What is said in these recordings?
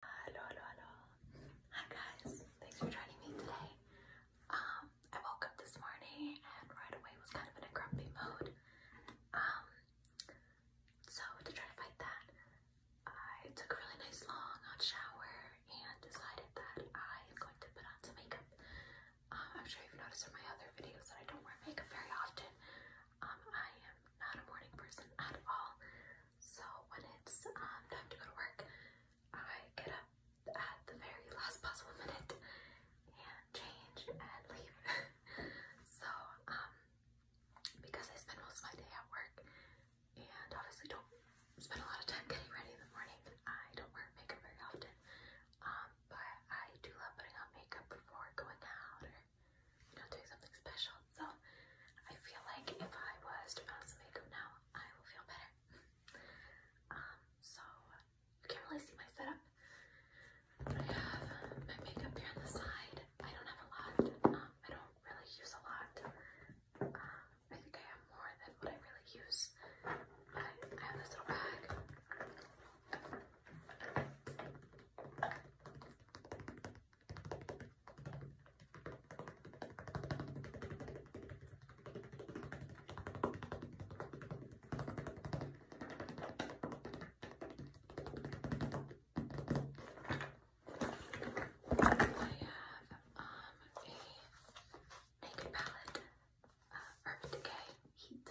Hello, hello, hello. Hi guys, thanks for joining me today. Um, I woke up this morning and right away was kind of in a grumpy mode. Um, so to try to fight that, I took a really nice long hot shower and decided that I am going to put on some makeup. Um, I'm sure you've noticed in my other videos that I don't wear makeup very often. Um, I am not a morning person at all. So when it's um, time to go to work, I get up at the very last possible minute and change and leave. so um, because I spend most of my day at work and obviously don't spend a lot of time getting ready in the morning, I don't wear makeup very often. Um, but I do love putting on makeup before going out or you know doing something special. So I feel like if I was to put on some makeup now, I will feel better. um, so you can't really see my setup. I have my makeup here on the side. I don't have a lot. Um, I don't really use a lot. Um, I think I have more than what I really use. But I have this little bag have um, a naked palette, Urban Decay Heat.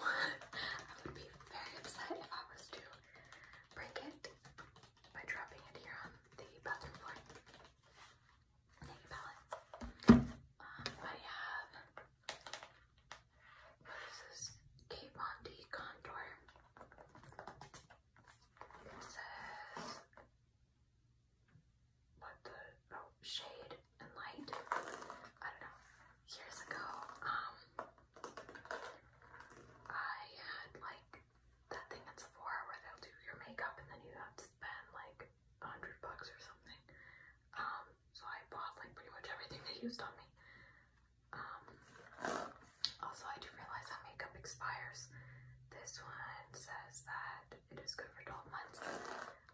I would be very upset if I was to break it by dropping it here on the bathroom floor. Take palette. Um, I have, what is this? Kate Von D It says, what the, oh, shade and light. I don't know. Years ago, um, I had like that thing at Sephora where they'll do your makeup and then you have to spend like a hundred bucks or something. Um, so I bought like pretty much everything they used on me. Um, also I do realize that makeup expires. This one says that it is good for 12 months.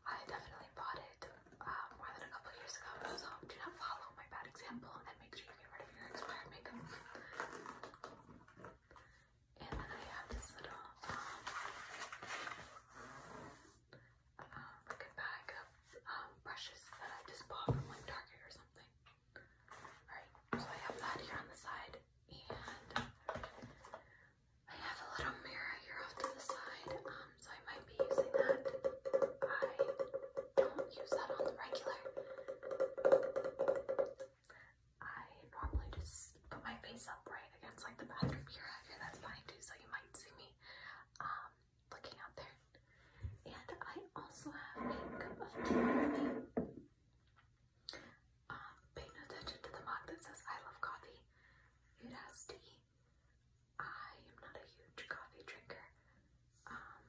I definitely bought it um, more than a couple years ago, so do not follow my bad example and make sure and then I have this little um, um like bag of brushes that I just bought from like Target or something. Alright, so I have that here on the side and I have a little mirror here off to the side, um, so I might be using that. I don't use that on the regular. I normally just put my face up right against like the bathroom mirror out here, that's fine too, so you might see me um, looking out there. And I also have a cup of tea with me. Um, pay no attention to the mug that says I love coffee. It has tea. I am not a huge coffee drinker. Um,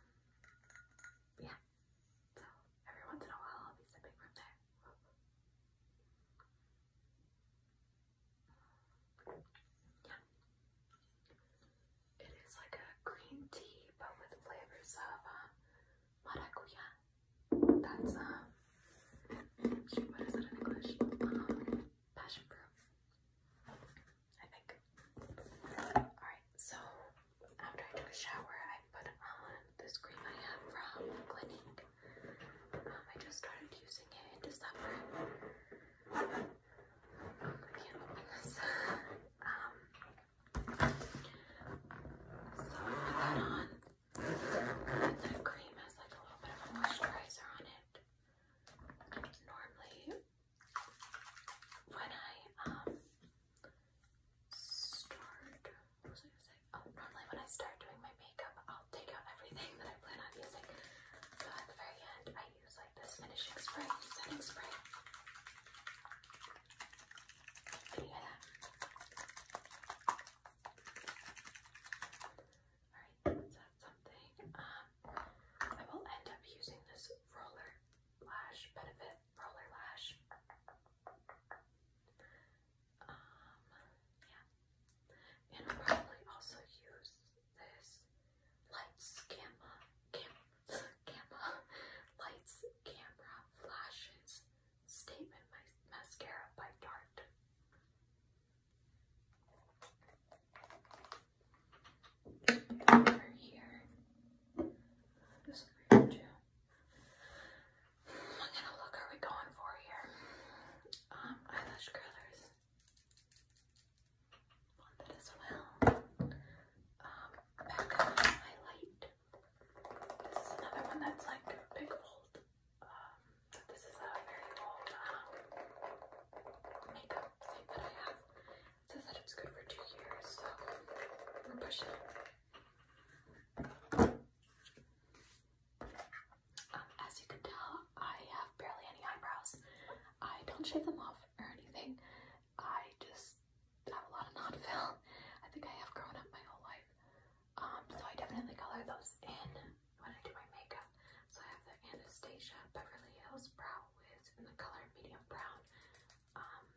yeah, so every once in a while I'll be sipping from there. Yeah. It is like a green tea but with flavors of uh, maracuya. That's um what is it in English? passion fruit. I think. Alright, so after I took a shower, I put on this cream I have from Clinique. Um, I just started using it in December. I can't open this. um, so I put that on. And the cream has like a little bit of moisturizer on it. Normally, when I um start what was I gonna say? Oh, normally when I start doing my makeup I'll take out everything that I plan on using. So at the very end I use like this finishing spray, setting spray. Alright, that's something. Um, I will end up using this roller lash benefit roller lash. Um, yeah, and I'll probably also use this lights camera, camera, camera, lights camera flashes statement mascara by Dart over here. This over here too. What kind of look are we going for here? eyelash curlers. Want as well. Um, back highlight. This is another one that's like big old. Um, this is a very old um, makeup thing that I have says that it's good for two years, so we're pushing um, as you can tell, I have barely any eyebrows. I don't shave them off or anything. I just have a lot of non I think I have grown up my whole life. Um, so I definitely color those in when I do my makeup. So I have the Anastasia Beverly Hills Brow Wiz in the color medium brown. Um,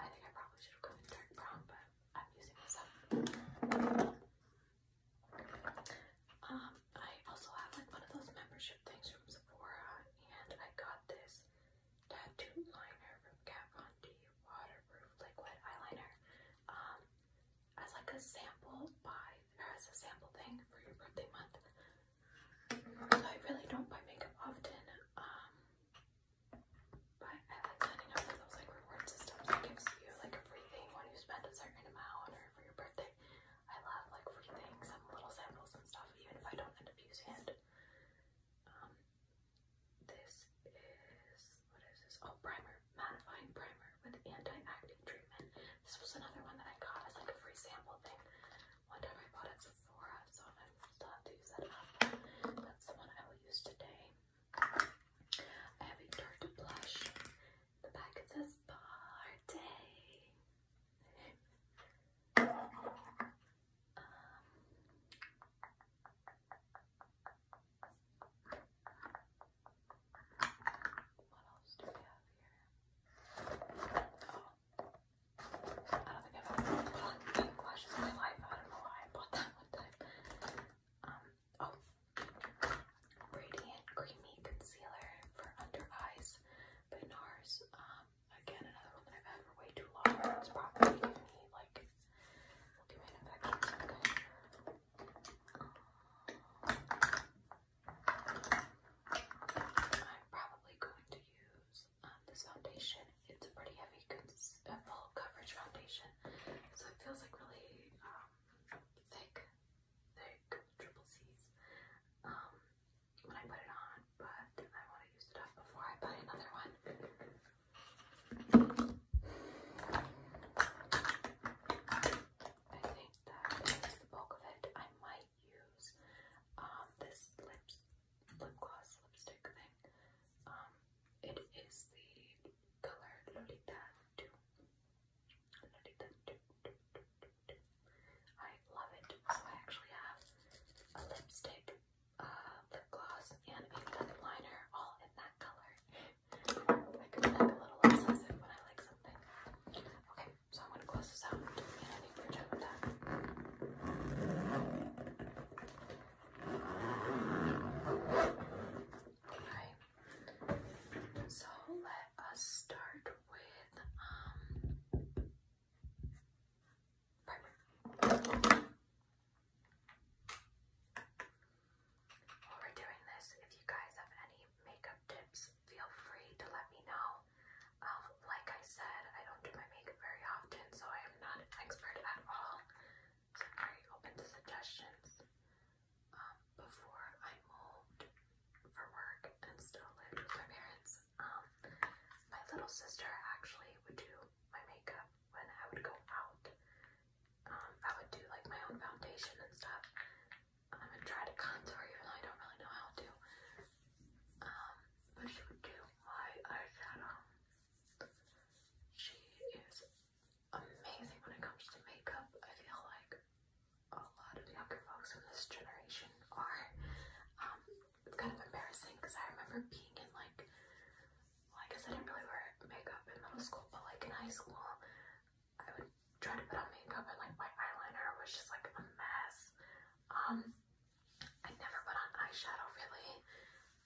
I think I probably should have gone in dark brown, but I'm using this up. Um, I also have like one of those membership things from Sephora, and I got this tattoo liner from Kat Von D waterproof liquid eyeliner. Um, as like a sample buy or as a sample thing for your birthday month. I really don't buy makeup often. Um, but I like signing up for those like reward systems that gives you like a when you spend a certain amount or for your birthday. I love like free things little samples and stuff even if I don't end up using it. Um, this is what is this? Oh primer, mattifying primer with anti-acne treatment. This was another one that I got as like a free sample thing. One time I bought at Sephora, so I'm still have to use that up. That's the one I will use today. I have blush. The back it says party. Um, what else do we have here? Oh, I don't think I've ever bought lip lashes in my life. I don't know why I bought that one time. Um, oh, Radiant Creamy Concealer for under eyes by NARS. Um, again, another one that I've had for way too long. It's probably like, um, I'm probably going to use um, this foundation. It's a pretty heavy, uh, full coverage foundation, so it feels like really um, thick, thick triple C's um, when I put it on, but I want to use it up before I buy another one. I think that is the bulk of it. I might use um, this lips, lip gloss lipstick thing. Um, it is the color Lolita I love it. So I actually have a lipstick, uh, lip gloss, and a lip liner all in that color. I could be a little obsessive when I like something. Okay, so I'm going to close this out Okay, so let us start with um While we're doing this, if you guys have any makeup tips feel free to let me know. Um, like I said, I don't do my makeup very often, so I am not an expert at all. I'm very open to suggestions. Um, before I moved for work and still lived with my parents, um, my little sister actually would do my makeup when I would go out. I would do like my own foundation and stuff. I'm try to contour even though I don't really know how to. Um, but she would do my eyes had um, She is amazing when it comes to makeup. I feel like a lot of younger folks in this generation are. it's um, kind of embarrassing because I remember being in like, I guess I didn't really wear makeup in middle school, but like in high school, I would try to put on makeup and like my eyeliner was just like a mess. I never put on eyeshadow really.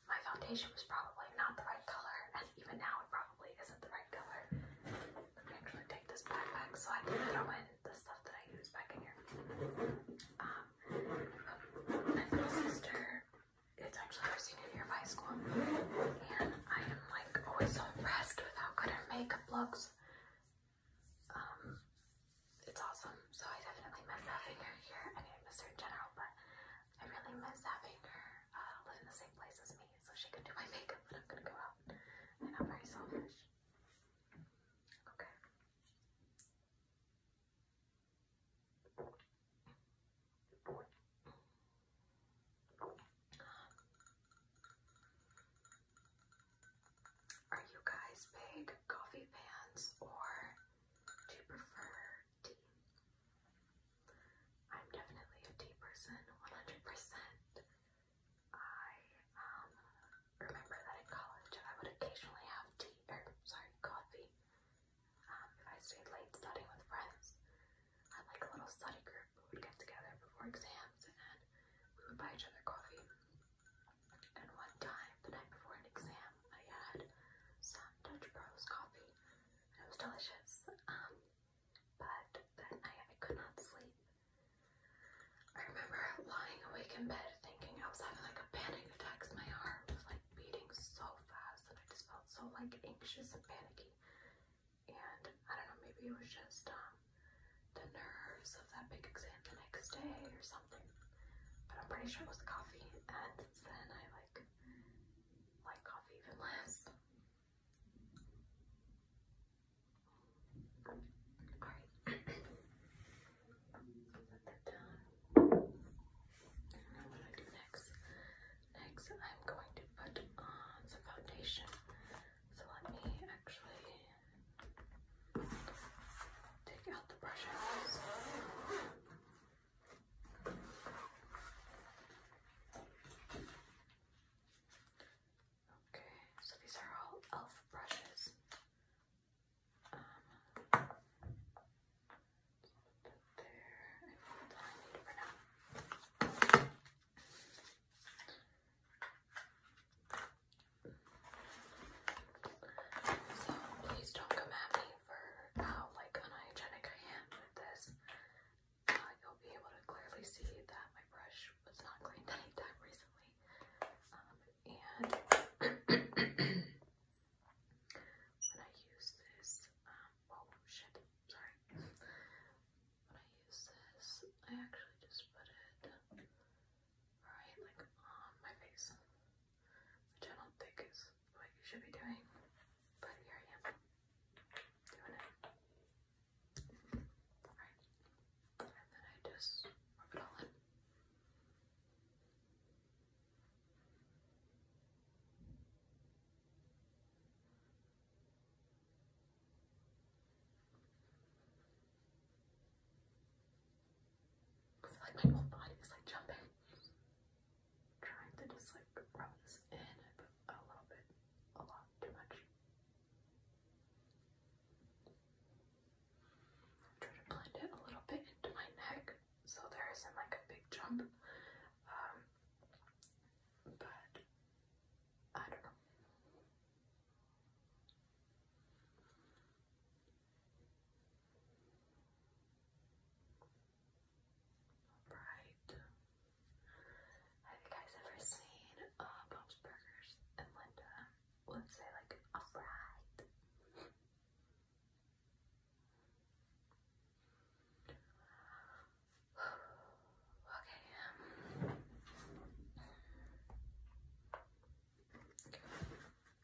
My foundation was probably not the right color, and even now it probably isn't the right color. Let me actually take this backpack so I can throw in the stuff that I use back in here. Um, my little sister, it's actually her senior year of school, and I am like always so impressed with how good her makeup looks. Um, it's awesome. So I definitely miss having her here. I mean, I miss her in general, but I really miss having her uh, live in the same place as me so she can do my makeup when I'm gonna go out. I know, very selfish. Okay. Are you guys big coffee fans or do you prefer tea? I'm definitely a tea person, 100%. I um, remember that in college I would occasionally have tea, or er, sorry, coffee. Um, if I stayed late studying with friends, I would like a little study group. We would get together before exams and we would buy each other coffee. And one time, the night before an exam, I had some Dutch Bros coffee, it was delicious. Um, but that night I could not sleep. I remember lying awake in bed thinking I was having like a panic attack. My heart was like beating so fast, and I just felt so like anxious and panicky. And I don't know, maybe it was just um, the nerves of that big exam the next day or something. But I'm pretty sure it was coffee, and since then I like like coffee even less. Alright. Set that down. And then what I do next? Next I'm going to put on some foundation. So let me actually Take out the brush Okay, so these are all elf brushes. Um, put there. I think that's all I for now. So please don't come at me for how oh, like unhygienic I am with this. Uh, you'll be able to clearly see that my brush was not cleaned anytime recently. Um, and when I use this, um, oh shit, sorry. When I use this, I actually just put it right, like on my face, which I don't think is what you should be doing, but here I am doing it. Alright, and then I just rub it all in. I like my whole body is like jumping. trying to just like rub this in, but a little bit, a lot too much. Try to blend it a little bit into my neck so there isn't like a big jump. Um, but I don't know. Alright. Have you guys ever seen uh Burgers and Linda would say like alright? okay.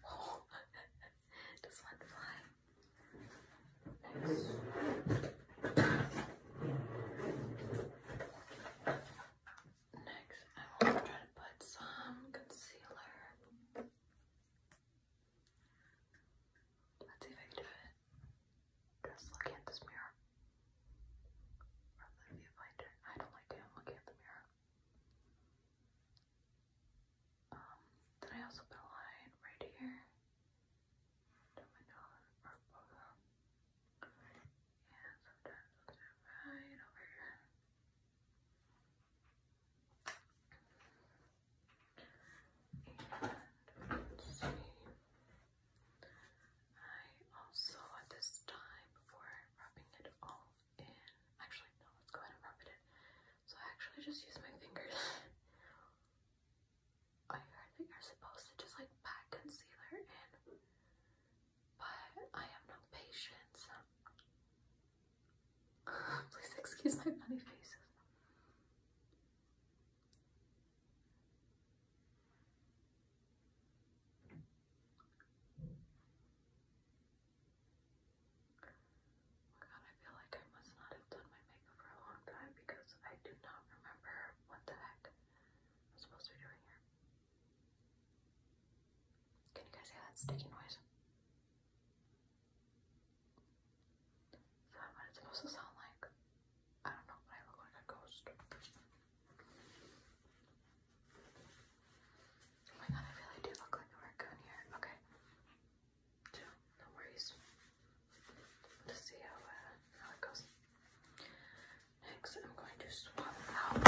Oh, does one fly? Next. Next, I want to try to put some concealer. Let's see if I can do it. Just looking at this mirror. From the viewfinder. I don't like doing looking at the mirror. Um, then I also put a line right here down my nose or sometimes I'll do it right over here. And let's see. I also at this time, before rubbing it all in, actually no, let's go ahead and rub it in. So I actually just use my fingers. I hardly are supposed to just like pat concealer in, but I have no patience. Please excuse my funny faces. Oh god, I feel like I must not have done my makeup for a long time because I do not remember what the heck I'm supposed to be doing here. Can you guys hear that sticky noise? Is supposed to sound like? I don't know, I look like a ghost. Oh my god, I really do look like a raccoon here. Okay. no worries. let see uh, how, it goes. Next, I'm going to swap out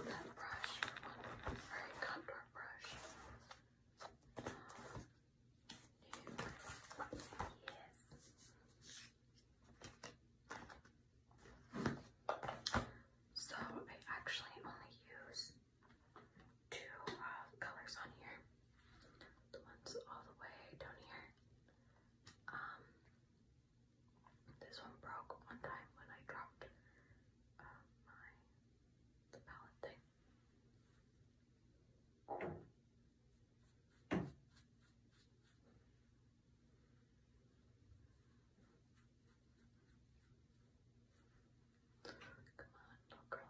that brush for one contour brush. So I actually only use two uh, colors on here. The ones all the way down here. Um, this one broke one time when I dropped uh, my the palette thing. Come on, don't curl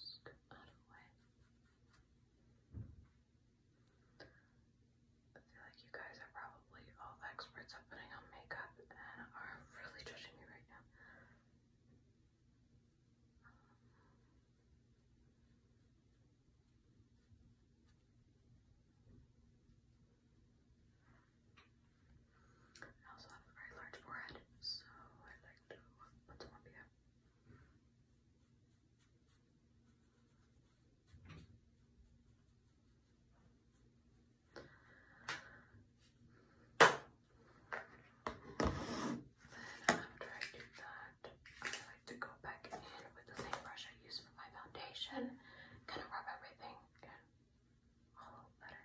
Just out of the way. I feel like you guys are probably all experts at putting on makeup and are really judging me right now. I also have a very large forehead, so I like to put some up here. Then after I do that, to go back in with the same brush I used for my foundation, kind of rub everything in a little better.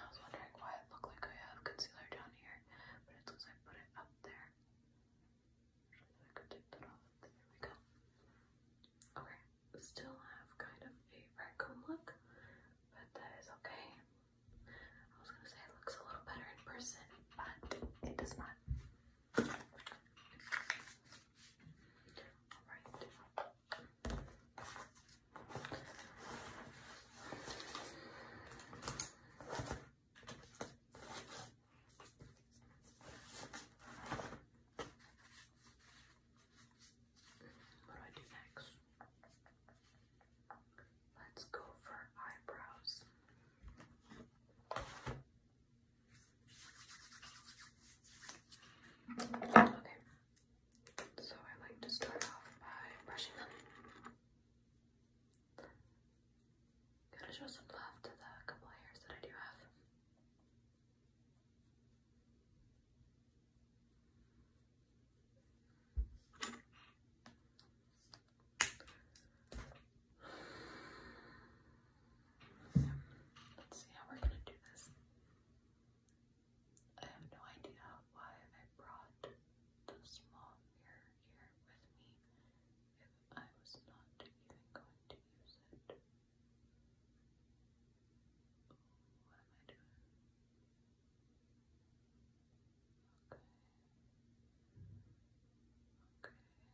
I was wondering why it looked like I have concealer down here, but it looks like I put it up there. I Okay, still have kind of a raccoon look, but that is okay. I was gonna say it looks a little better in person, but it does not. Alright. What do next? Let's go for eyebrows. Okay, so I like to start off by brushing them. Gotta show some love to the couple of hairs that I do have. Let's see how we're gonna do this. I have no idea why I brought the small ear here with me if I was not even going to use it. Ooh, what am I doing? Okay. Okay. Yes.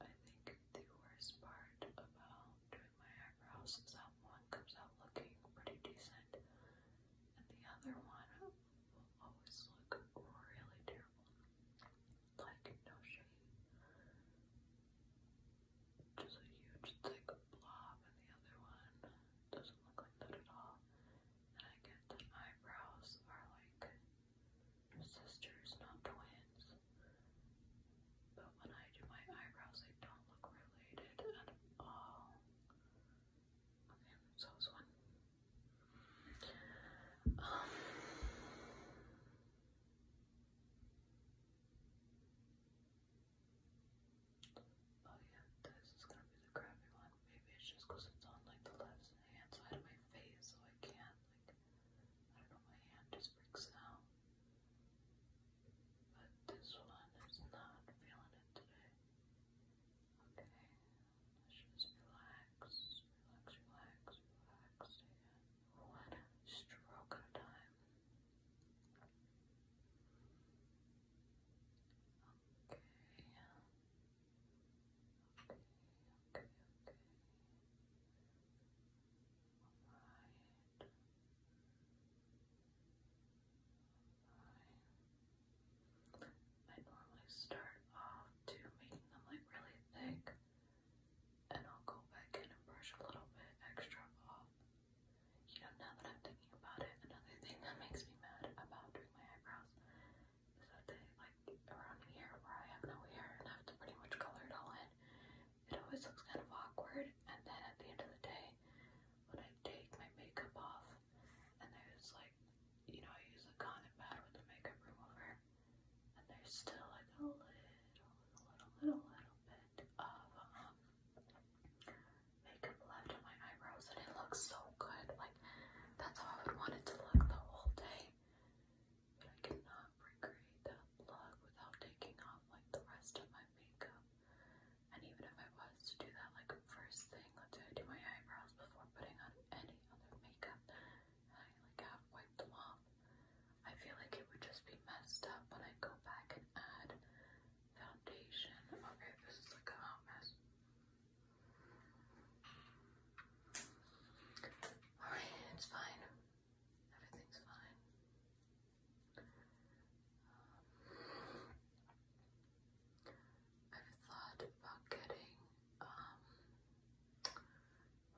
I think the worst part about doing my eyebrows is that one comes out looking pretty decent, and the other one will always look really terrible. Like, no shade. Just a huge, thick blob, and the other one doesn't look like that at all. And I get the eyebrows are like sisters, not twins. But when I do my eyebrows, they don't look related at all. Okay, so that one. Um, oh yeah, this is gonna be the crappy one. Maybe it's just it's on like the left hand side of my face, so I can't like I don't know, my hand just freaks out but this one is not feeling it today. Okay, let's just relax, relax, relax, relax, one stroke at a time. Okay. Okay, okay, okay. Alright. I normally start off to making them like really thick and I'll go back and brush a little bit extra off. You know, now that I'm thinking about it, another thing that makes me mad about doing my eyebrows is that like around here where I have no hair and I have to pretty much color it all in. It always looks kind of awkward and then at the end of the day when I take my makeup off and there's like, you know, I use a cotton pad with a makeup remover and there's still like a little, little, little, little bit of um, makeup left on my eyebrows and it looks so good. Like, that's how I would want it to look the whole day. But I cannot recreate that look without taking off like the rest of my makeup. And even if I was to do that, like first thing, let's say I do my eyebrows before putting on any other makeup, I like have wiped them off. I feel like it would just be messed up when I go back and add foundation. Okay, this is like a hot mess. Alright, it's fine. Everything's fine. Um, I've thought about getting, um,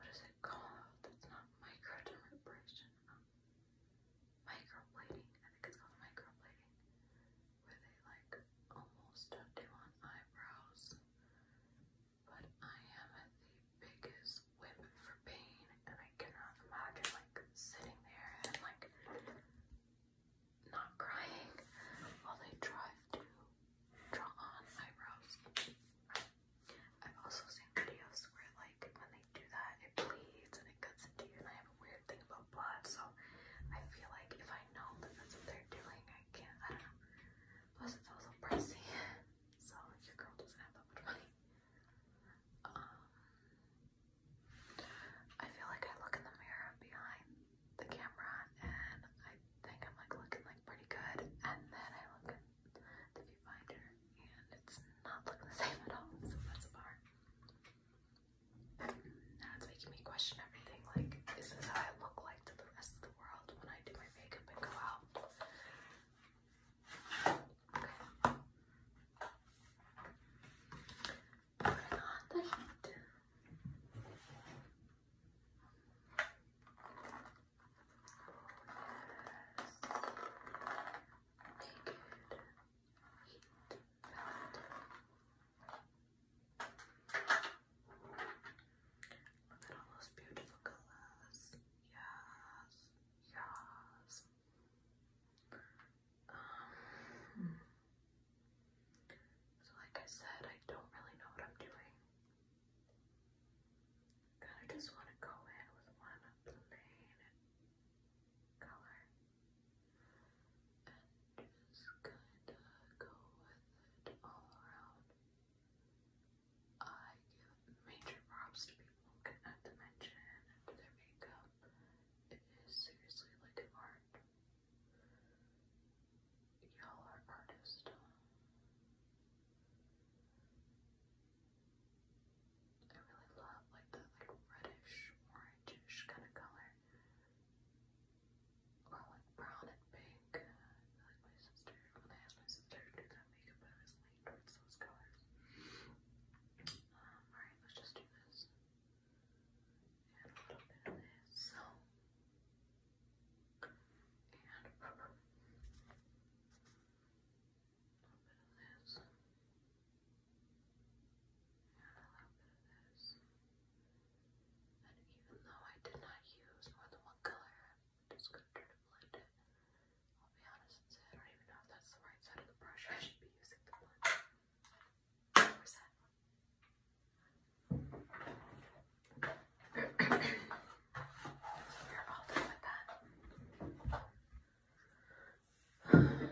what is it called? It's not micro um, microblading. I think it's called microblading, where they like almost do on eyebrows. But I am the biggest whip for pain, and I cannot imagine like sitting there and like not crying while they try to draw on eyebrows. I've also seen videos where like when they do that it bleeds and it cuts into you and I have a weird thing about blood so I feel like if I know that that's what they're doing I can't, I don't know. Plus it's also pricey so your girl doesn't have that much money. Um, I feel like I look in the mirror behind the camera and I think I'm like looking like pretty good and then I look at the viewfinder and it's not looking the same at all, so that's a bar. Now it's making me question everything, like is this how I look like to the rest of the world when I do my makeup and go out? Put on the heat. Naked heat fountain. Look at all those beautiful colors. Yes, yes. Um, so like I said, I don't really know what I'm doing. Kind of just want to go in with one plain color and just kind of go with it all around. I give major props to people who can add dimension and to their makeup it is seriously like an art. Y'all are artists. I really love like that like reddish, orangish kind of color. Or like brown and pink. like my sister, when I asked my sister to do that makeup, I was leaning towards those colors. Um, alright, let's just do this a little bit of this. And a little bit of this. And a little bit of this. And even though I did not use more than one color, to try to blend it. I'll be honest and say I don't even know if that's the right side of the brush I should be using the blend so we're all done with that.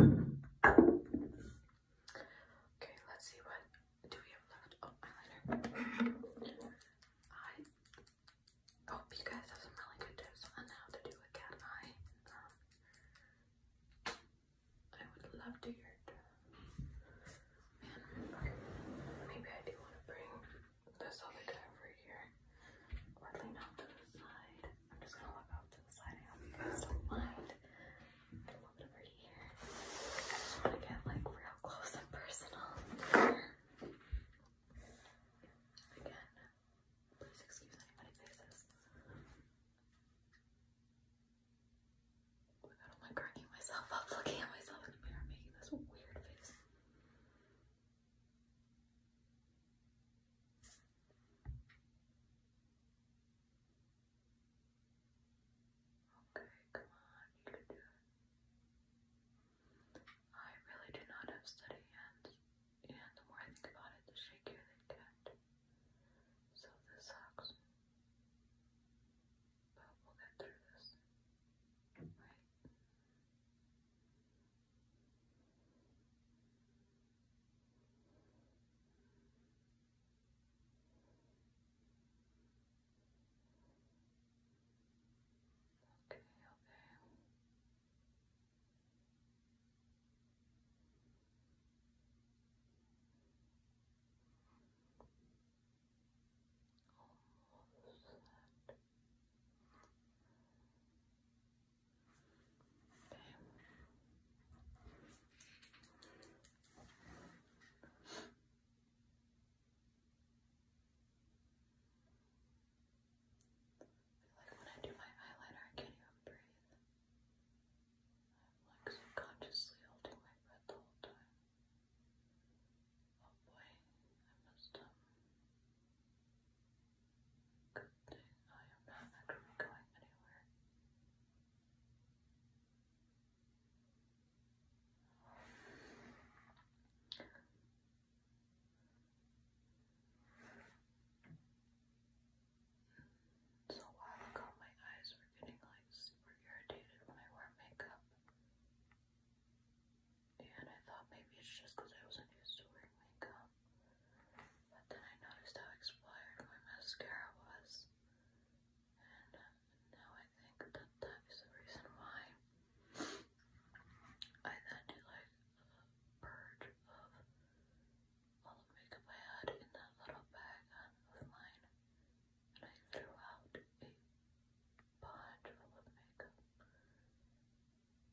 Okay, let's see what do we have left. Oh, eyeliner. I hope you guys have some really good tips on how to do a cat eye. Um, I would love to hear it. maybe I do want to bring this other guy over here, lean off to the side. I'm just gonna look off to the side. don't mind over here. I just want to get like real close and personal. Again, please excuse anybody faces. I don't like cracking myself up looking at myself in the mirror making this weird face. Okay, come on, you can do it. I really do not have steady hands, and the more I think about it, the shakier they get. So this sucks. But we'll get through this. Right? Okay, okay. Almost set. Okay like when I do my eyeliner, I can't even breathe. I'm like subconsciously holding my breath the whole time. Oh boy, I must um Good thing I am not actually going anywhere. So a while ago, my eyes were getting like super irritated when I wear makeup. And I thought maybe it's just because I wasn't used to wearing makeup. But then I noticed how expired my mascara was. And uh, now I think that that is the reason why I then did like a purge of all the makeup I had in that little bag of mine. And I threw out a bunch full of makeup.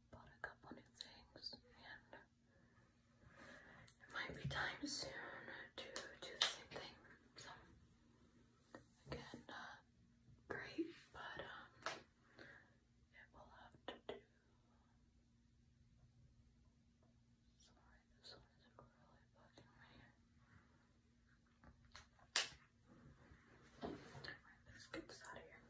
Bought a couple new things and it might be time soon to do the same thing. So again, not uh, great, but um it will have to do. Sorry, this one really bugging me. Alright, let's get this out of here.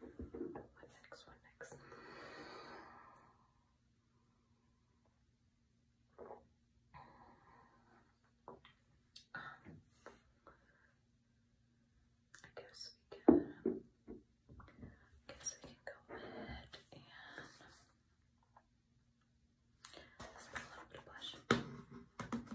What next? What next? Um, I guess we can. I guess we can go ahead and. let a little bit of blush.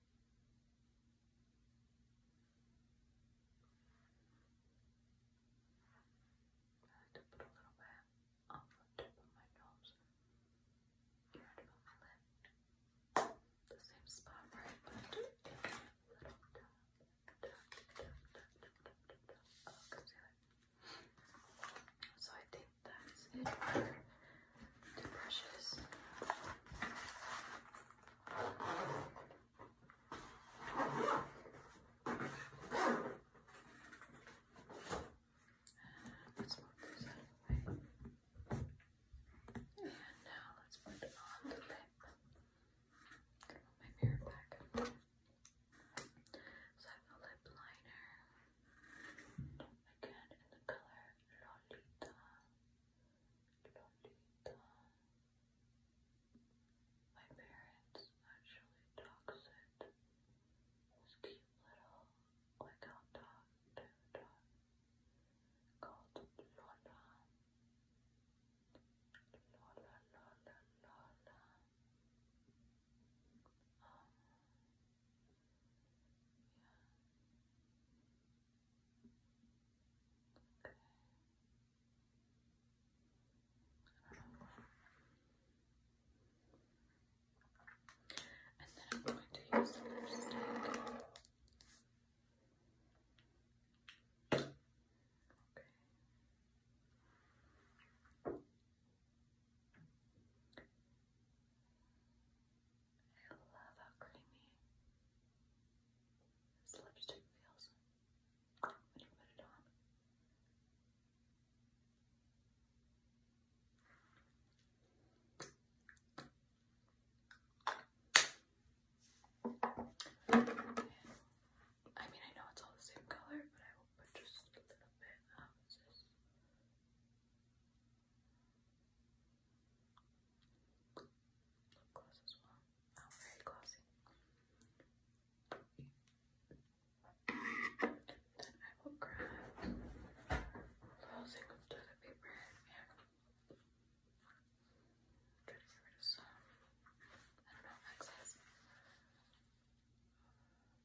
I like to put a little bit on the tip of my nose and right my lip. The same spot, right? But a little dab, So I think that's it for the brushes. Let's move this out of the way. And now let's put on the lip. my mirror back I have a lip liner. Again in the color Lolita. Lolita. My parents actually dogsit this cute little like out dog, dog, dog called Lola. Lola, Lola, Lola. Um, and then I'm going to use the lipstick. Okay. I love how creamy this lipstick feels when you put it on. I mean, I know it's all the same color, but I will put just a little bit of this. Lip gloss as well. Oh, very glossy. Then I will grab a little thing of toilet paper in here. Try to get rid of some, I don't know, excess.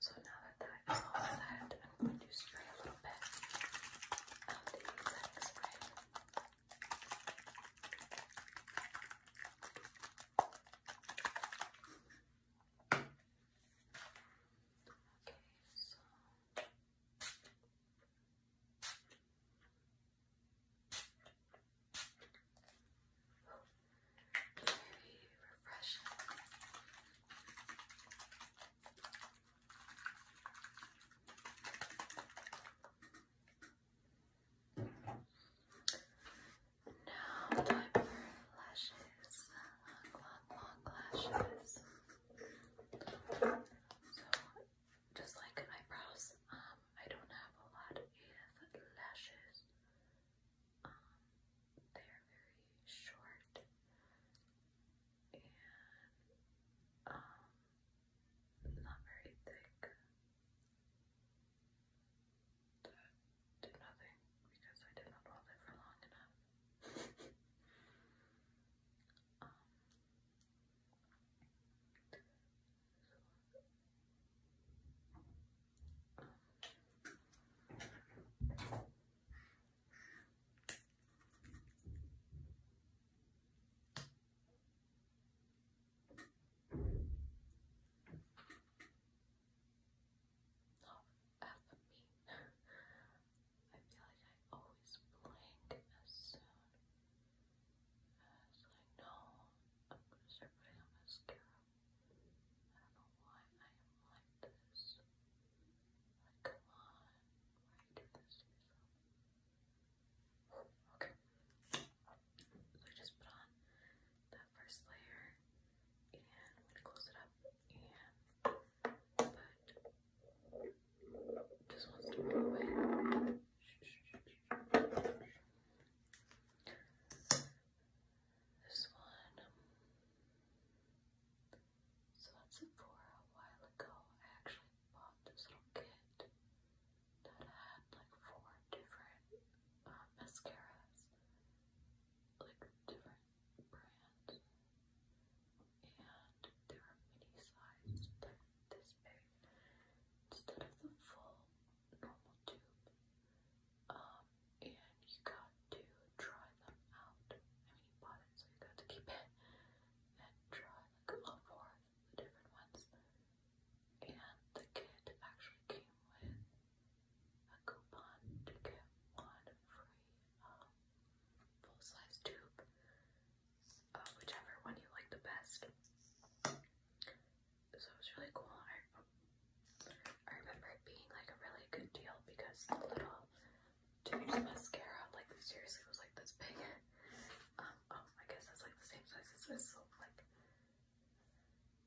So now that that is all set, I'm going to spray a little bit of the setting spray. Very refreshing. Now time for lashes, long, long, long lashes. So, just like eyebrows, um, I don't have a lot of lashes, um, they are very short and um, not very thick. That nothing because I did not hold it for long enough. F me. I feel like I always blank as soon as I know I'm gonna start putting on mascara. I don't know why I am like this. Like, come on, why do you this to Okay. So I just put on that first layer and close it up and but just wants to go away. This one. So at Sephora a while ago, I actually bought this little kit that had like four different uh, mascaras, like different brands, and they were mini sized, like this big. Instead of the full normal tube. Um, and you got to try them out. I mean, you bought it, so you got to keep it and try all four the different ones. And the kit actually came with a coupon to get one free um, full size tube, uh, whichever one you like the best so it was really cool. I, I remember it being like a really good deal because the little tubes of mascara, like seriously, was like this big. Um, oh, I guess that's like the same size as this. So like,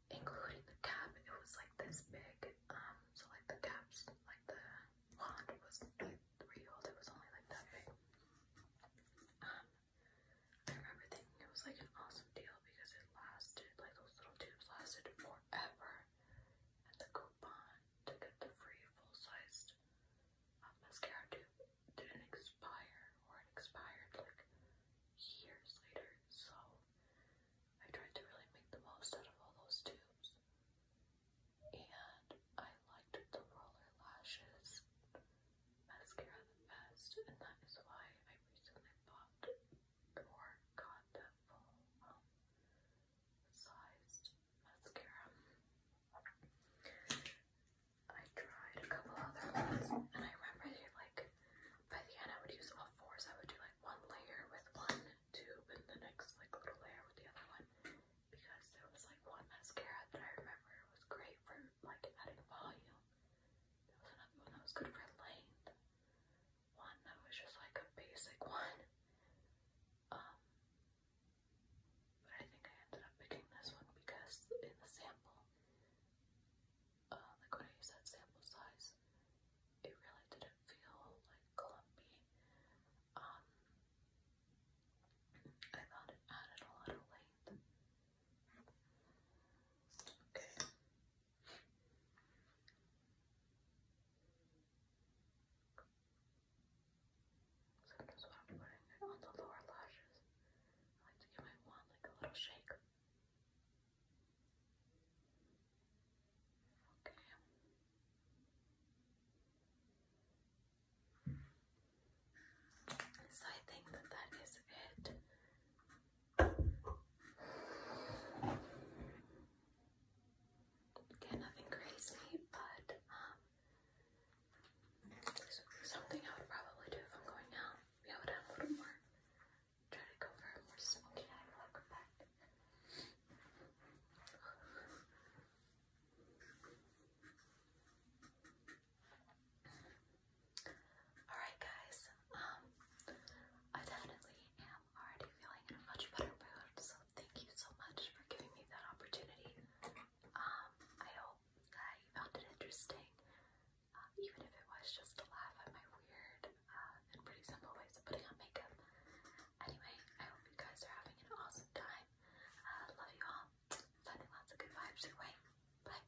including the cap, it was like this big. Um, so like the caps, like the wand was like three old. It was only like that big. Um, I remember thinking it was like an awesome deal because it lasted, like those little tubes lasted forever. And the coupon to get the free full-sized um, mascara tube didn't expire or it expired like years later. So I tried to really make the most out of all those tubes. And I liked the roller lashes mascara the best, and that is why I recently bought or got that full um, sized mascara. I tried a couple other ones and I remember they like by the end I would use all fours. I would do like one layer with one tube and the next like little layer with the other one because there was like one mascara that I remember was great for like adding volume there was another one that was good for length. One that was just like a basic one. Um, but I think I ended up picking this one because in the sample, uh, like when I used that sample size, it really didn't feel like clumpy. Um, I thought it added a lot of length. Okay. So that's what putting it on the lower lashes. I like to give my wand like a little shake. Okay. So I think that that is it Again, nothing crazy, but um, something I would probably do if I'm going out. Yeah, I would a little more, try to go for a more smoky eye look, but. Alright guys, um, I definitely am already feeling in a much better mood, so thank you so much for giving me that opportunity. Um, I hope that you found it interesting, uh, even if it was just to laugh at my weird uh, and pretty simple ways of putting on makeup. Anyway, I hope you guys are having an awesome time. Uh, love you all. Sending lots of good vibes your way. Bye.